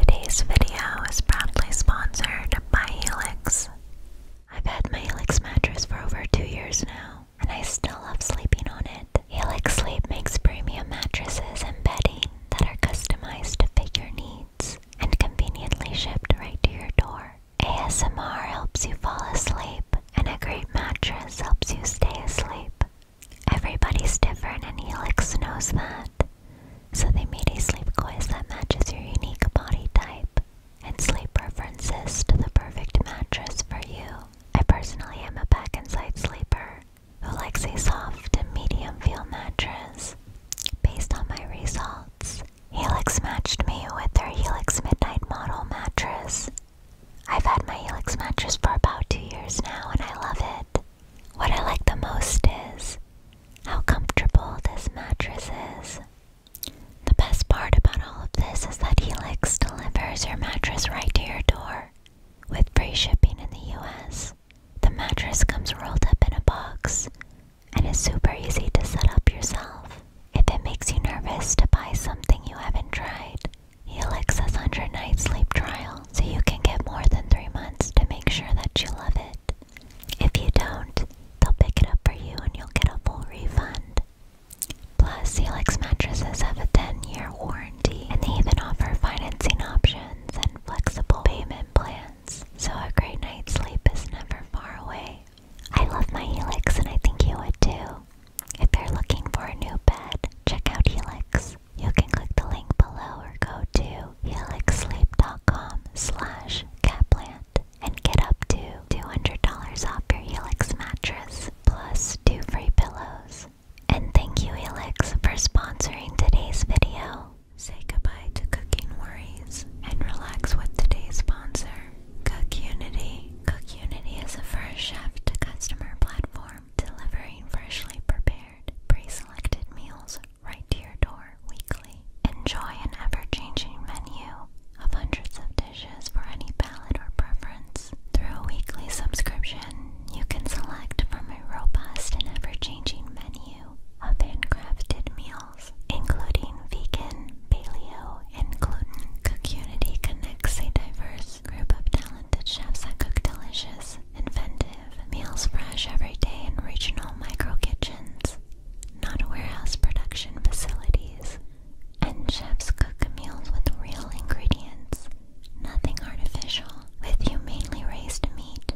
Today's video is proudly sponsored by Helix. I've had my Helix mattress for over two years now, and I still love sleeping on it. Helix Sleep makes premium mattresses and bedding that are customized to fit your needs and conveniently shipped right to your door. ASMR helps you fall asleep, and a great mattress helps you stay asleep. Everybody's different, and Helix knows that. So they made a sleep quiz that matches your unique body type and sleep preferences to the perfect mattress for you. I personally am a back and side sleeper who likes a soft and medium feel mattress. Based on my results, Helix matched me with their Helix Midnight Model mattress. I've had my Helix mattress for about two years now and I love it. What I like the most is how comfortable this mattress is. The best part about all of this is that Helix delivers your mattress right to your door with free shipping in the US. The mattress comes rolled up in a box and is super easy to set up yourself. If it makes you nervous to buy something you haven't tried, Helix has a 100 night sleep trial so you can get more than 3 months to make sure that you love it. If you don't, they'll pick it up for you and you'll get a full refund. Plus, Helix mattresses have a 10-year warranty, and they even offer financing options and flexible payment plans, so a great night's sleep is never far away. I love my Helix and I think you would too. If you're looking for a new bed, check out Helix. You can click the link below or go to helixsleep.com slash caplant and get up to $200 off your Helix mattress plus two free pillows. And thank you Helix for sponsoring today's video. Say goodbye to cooking worries and relax with today's sponsor, CookUnity. CookUnity is a first chef to customer platform delivering freshly prepared, pre-selected meals right to your door weekly. Enjoy an ever changing menu of hundreds of dishes for any palate or preference. Through a weekly subscription, you can select from a robust and ever changing menu of handcrafted meals, including vegan, paleo, and gluten. Cook Unity connects a diverse group of talented chefs that cook delicious meals, inventive, meals fresh every day in regional micro kitchens, not warehouse production facilities. And chefs cook meals with real ingredients, nothing artificial, with humanely raised meat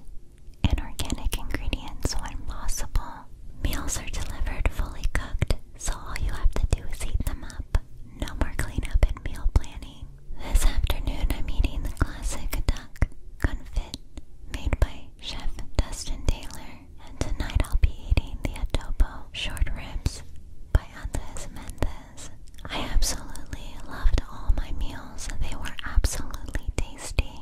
and organic ingredients when possible. Meals are delivered fully cooked, so all you have to do is heat them up. No more up and meal planning. This afternoon I'm eating the classic duck confit made by Chef Dustin Taylor. And tonight I'll be eating the adobo short ribs by Andres Mendez. I absolutely loved all my meals. They were absolutely tasty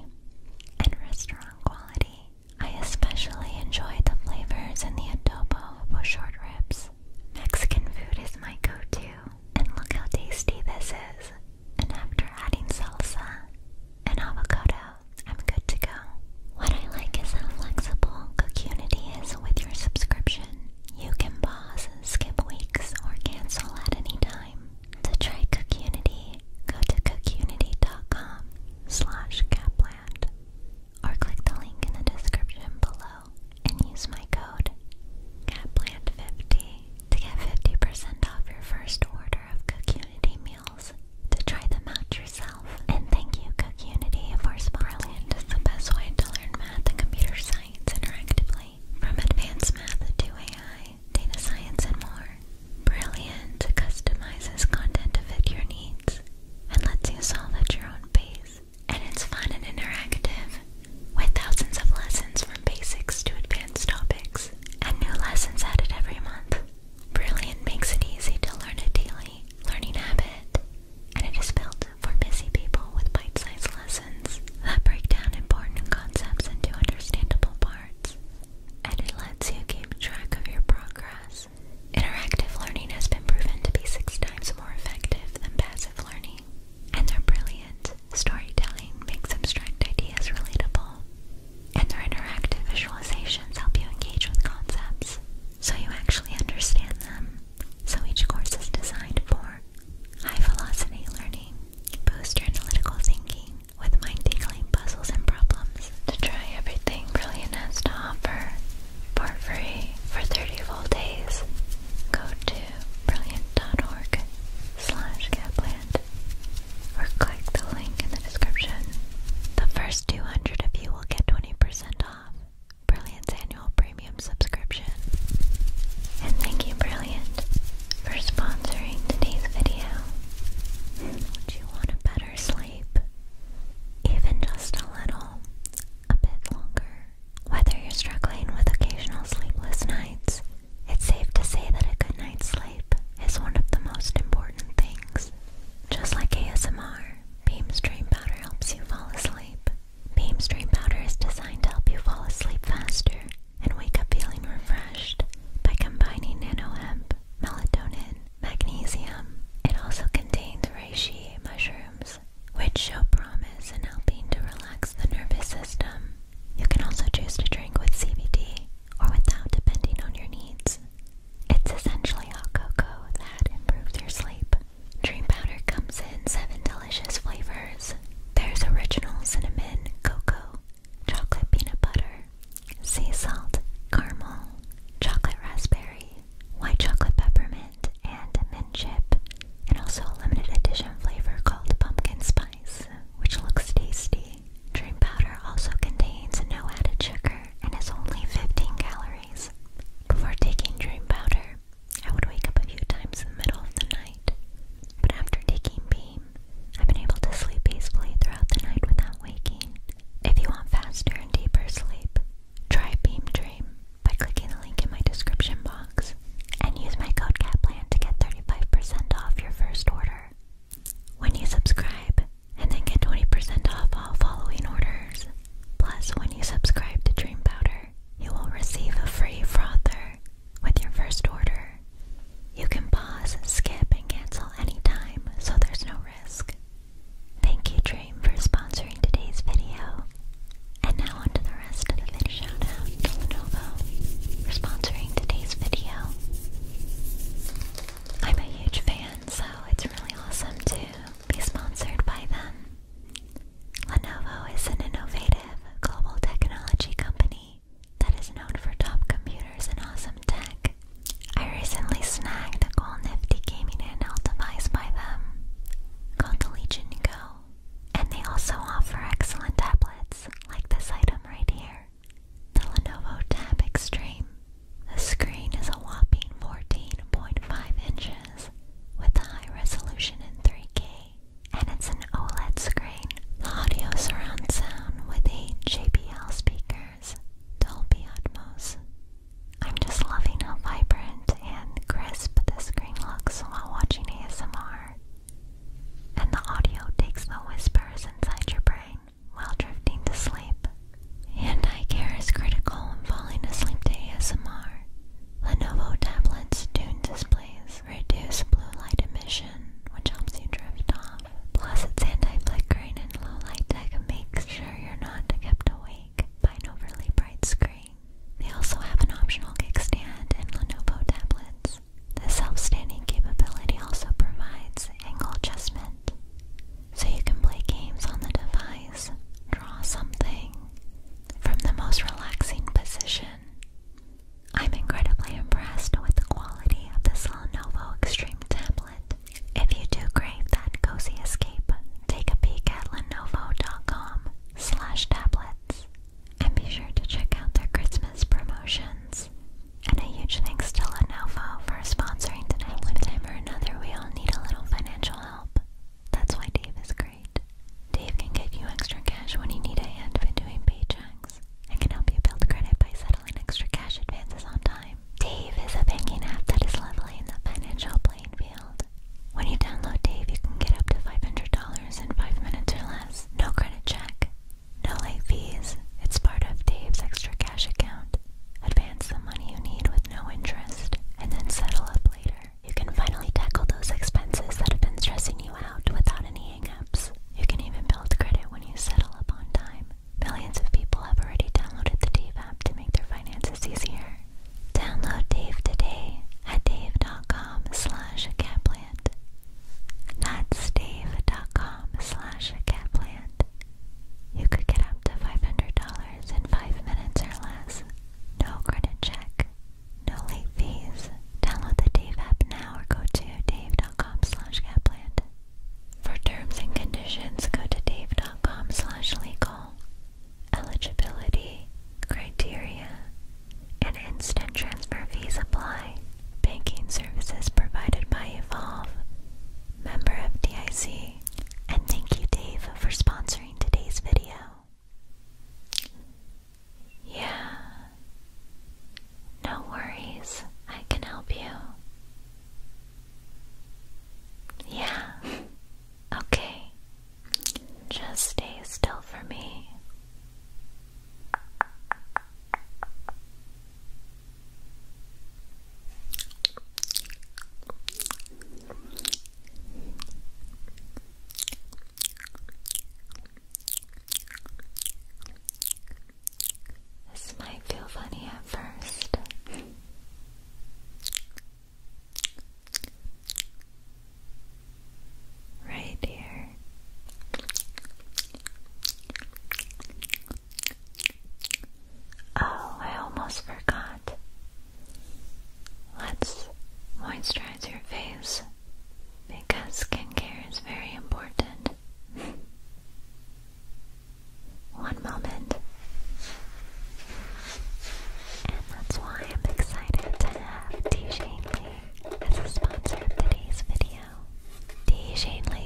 and restaurant quality. I especially enjoyed the flavors in the adobo for short ribs. Mexican food is my go-to, and look how tasty this is and after adding salsa and avocado, I'm good to go. What I like is how flexible Cookunity is with your subscription. You can pause, and skip weeks, or cancel at any time. To try Cookunity, go to cookunity.com slash capland or click the link in the description below and use my code capland50 to get 50% off your first order of Cook meals to try them out yourself. And thank you, Cook for sponsoring. Brilliant is the best way to learn math and computer science interactively, from advanced math to AI, data science, and more. Brilliant customizes content to fit your needs and lets you solve at your own pace. And it's fun and interactive, with thousands of lessons from basics to advanced topics and new lessons added every month. Brilliant makes it easy to learn a daily learning habit, and it is built for busy people with bite sized lessons that break down important concepts into understandable parts, and it lets you keep track of your progress. Interactive learning has been proven to be six times more effective than passive learning, and they're brilliant Storytelling makes abstract ideas relatable, and their interactive visualizations help you engage with concepts so you actually understand them. So each course is designed for high velocity learning, boost your analytical thinking with mind tingling puzzles and problems to try everything Brilliant has to offer for free for 30 full days. Go to brilliant.org slash or click the link in the description. The first 200 of you will get 20% off Brilliant's annual premium subscription. And thank you, Brilliant, for sponsoring today's video. Would you want a better sleep? Even just a little, a bit longer. Whether you're struggling with occasional sleepless nights, it's safe to say that a good night's sleep is one of the most important things. Just like ASMR, Beam's Dream Powder helps you fall asleep. Beam's Dream Powder is designed to help you fall asleep faster and wake up feeling refreshed by combining nano hemp, melatonin, magnesium. It also contains reishi mushrooms, which show promise in helping to relax the nervous system. You can also choose to drink with CBD or without, depending on your needs. It's essentially hot cocoa that improves your sleep. Dream powder comes in seven delicious flavors. There's original cinnamon, cocoa, chocolate peanut butter, sea salt, caramel, chocolate raspberry, white chocolate peppermint, and mint chip, and also a limited edition flavor called pumpkin spice which looks tasty. Dream powder also contains no added sugar and has only 15 calories. Before taking dream powder, I would wake up a few times in the middle of the night, but after taking Beam, I've been able to sleep peacefully throughout the night without waking. If you want faster and deeper sleep, try Beam Dream by clicking the link in my description box and use my code CATPLAN to get 35% off your first order when you subscribe and then get 20% off all following orders. Plus, when you subscribe to Dream Powder, you will receive a free frother with your first order. You can pause, skip, and cancel anytime, so there's no risk. Thank you, Dream, for sponsoring today's video. And now on the rest of the video. Shout for sponsoring today's video. I'm a huge fan, so it's really awesome to be sponsored by them. Lenovo is an innovative global technology company that is known for top computers and awesome tech. I recently snagged a cool nifty gaming handheld device by them called the Legion Go, and they also offer excellent tablets like this item right here. The Lenovo Tab Extreme. The screen is a whopping 14.5 inches with a high resolution in 3K, and it's an OLED screen. audio surround sound with 8 JBL speakers, Dolby Atmos. I'm just loving how vibrant and crisp the screen looks while watching ASMR. And the audio takes the whispers inside your brain while drifting to sleep. Hand eye care is critical when falling asleep to ASMR. Lenovo tablets tuned displays reduce blue light emission, which helps you drift off. Plus, its anti-flickering and low-light tech makes sure you're not kept awake by an overly bright screen. They also have an optional kickstand in Lenovo tablets. The self-standing capability also provides angle adjustment, so you can play games on the device, draw something from the most relaxing position. I'm incredibly impressed with the quality of this Lenovo Extreme tablet. If you do crave that cozy escape, take a peek at lenovo.com slash tablets and be sure to check out their Christmas promotions. And a huge thanks to Lenovo for sponsoring tonight. One time or another, we all need a little financial help. That's why Dave is great. Dave can give you extra cash when you need a hand doing paychecks and can help you build credit by settling extra cash advances on time. Dave is a banking app that is leveling the financial playing field. When you download Dave, you can get up to $500 in 5 minutes or less. No credit check, no late fees. It's part of Dave's extra cash account. Advance the money you need with no interest, and then settle up later. You can finally tackle those expenses that have been stressing you out without any hangups. You can even build credit when you settle up on time. Millions of people have already downloaded the Dave app to make their finances easier. Download Dave today at dave.com slash catplant. That's dave.com slash catplant you could get up to $500 in 5 minutes or less. No credit check, no late fees. Download the Dave app now or go to dave.com slash For terms and conditions, go to dave.com slash legal. Eligibility, criteria, and instant transfer fees apply. Banking services provided by Evolve, member of DIC. And thank you, Dave, for sponsoring today's video. Yeah. No worries, I can help you. Yeah. Okay. Just stay still for me. This might feel funny at first. right here. Oh, I almost forgot. Let's moisturize your face because skincare is very important. One moment. And that's why I'm excited to have T. Shanley as a sponsor of today's video. Deja De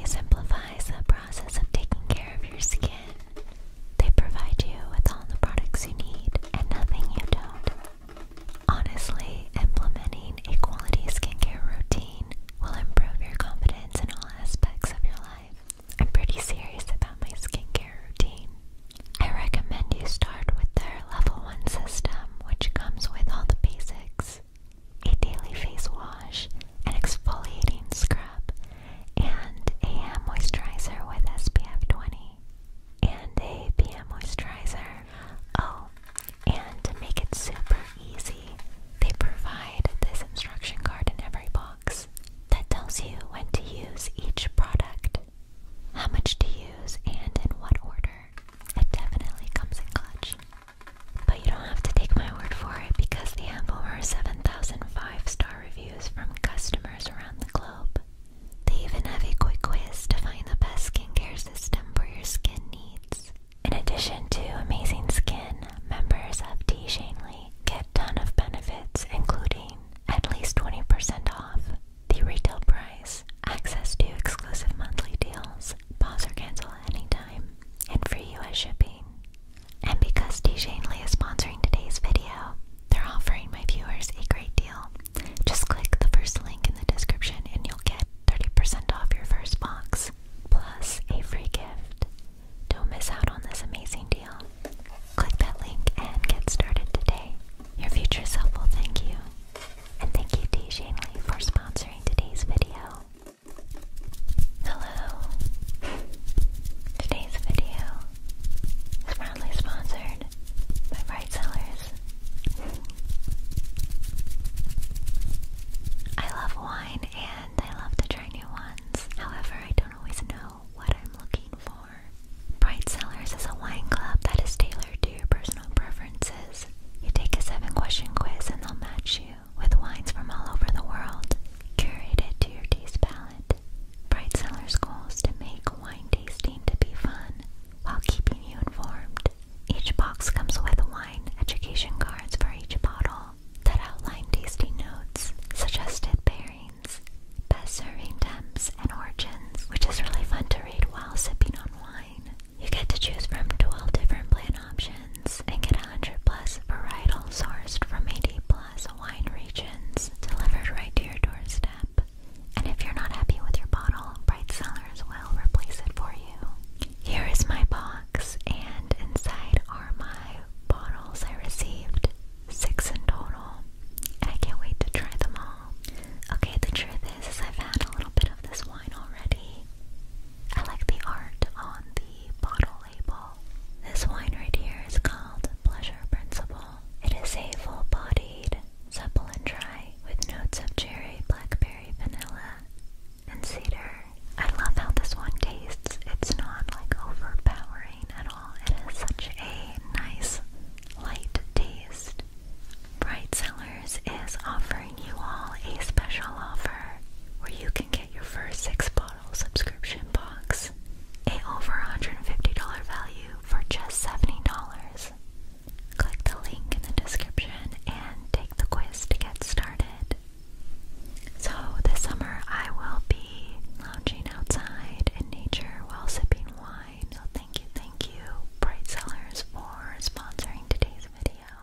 simplifies the process of taking care of your skin. They provide you with all the products you need and nothing you don't. Honestly, implementing a quality skincare routine will improve your confidence in all aspects of your life. I'm pretty serious about my skincare routine. I recommend you start with their level 1 system, which comes with all the basics a daily face wash, an exfoliating scrub, and a moisturizer with SPF 20, and a PM moisturizer. Oh, and to make it super easy, they provide this instruction card in every box that tells you when to use each product, how much to use, and in what order. It definitely comes in clutch. But you don't have to take my word for it because they have over seven star reviews from customers around the globe. They even have a quick quiz to find the best skincare system for your skin needs. In addition to amazing skin, members of T Shanley get ton of benefits including at least 20% off the retail price, access to exclusive monthly deals, pause or cancel at any time, and free US shipping. And because and Dejangely is sponsoring today's video, they're offering my viewers a great deal. Just click the first link in the description and you'll get 30% off your first box, plus a free gift. Don't miss out on this amazing deal. Click that link and get started today. Your future self will thank you. And thank you, and Dejangely, for sponsoring today's video. Hello. Today's video is proudly sponsored by Bright Sellers. I love wine and I love to try new ones. However, I don't always know what I'm looking for. Bright Sellers is a wine club that is tailored to your personal preferences. You take a seven question quiz and they'll match you with wines from all over the world, curated to your taste palette. Bright Cellar's goals to make wine tasting to be fun while keeping you informed. Each box comes with wine education cards for each bottle that outline tasting notes, suggested pairings, best serving temps, and origins, which is really fun to read while sipping on wine. You get to choose from 12 different plan options and get a 100 plus varietals sourced from 80 plus wine regions delivered right to your doorstep. And if you're not happy with your bottle, Bright Cellars will replace it for you. Here is my box, and inside are my bottles I received. Six in total. And I can't wait to try them all. Okay, the truth is, is I've had a little bit of this wine already. I like the art on the bottle. This wine right here is called Pleasure Principle. It is a full bodied, supple and dry, with notes of cherry, blackberry, vanilla, and cedar. I love how this one tastes. It's not like overpowering at all. It has such a nice, light taste. Bright Sellers is offering you all a special offer where you can get your first six bottle subscription box, a over $150 value for just $70. Click the link in the description and take the quiz to get started. So, this summer I will be lounging outside in nature while sipping wine. So, thank you, thank you, Bright Sellers, for sponsoring today's video.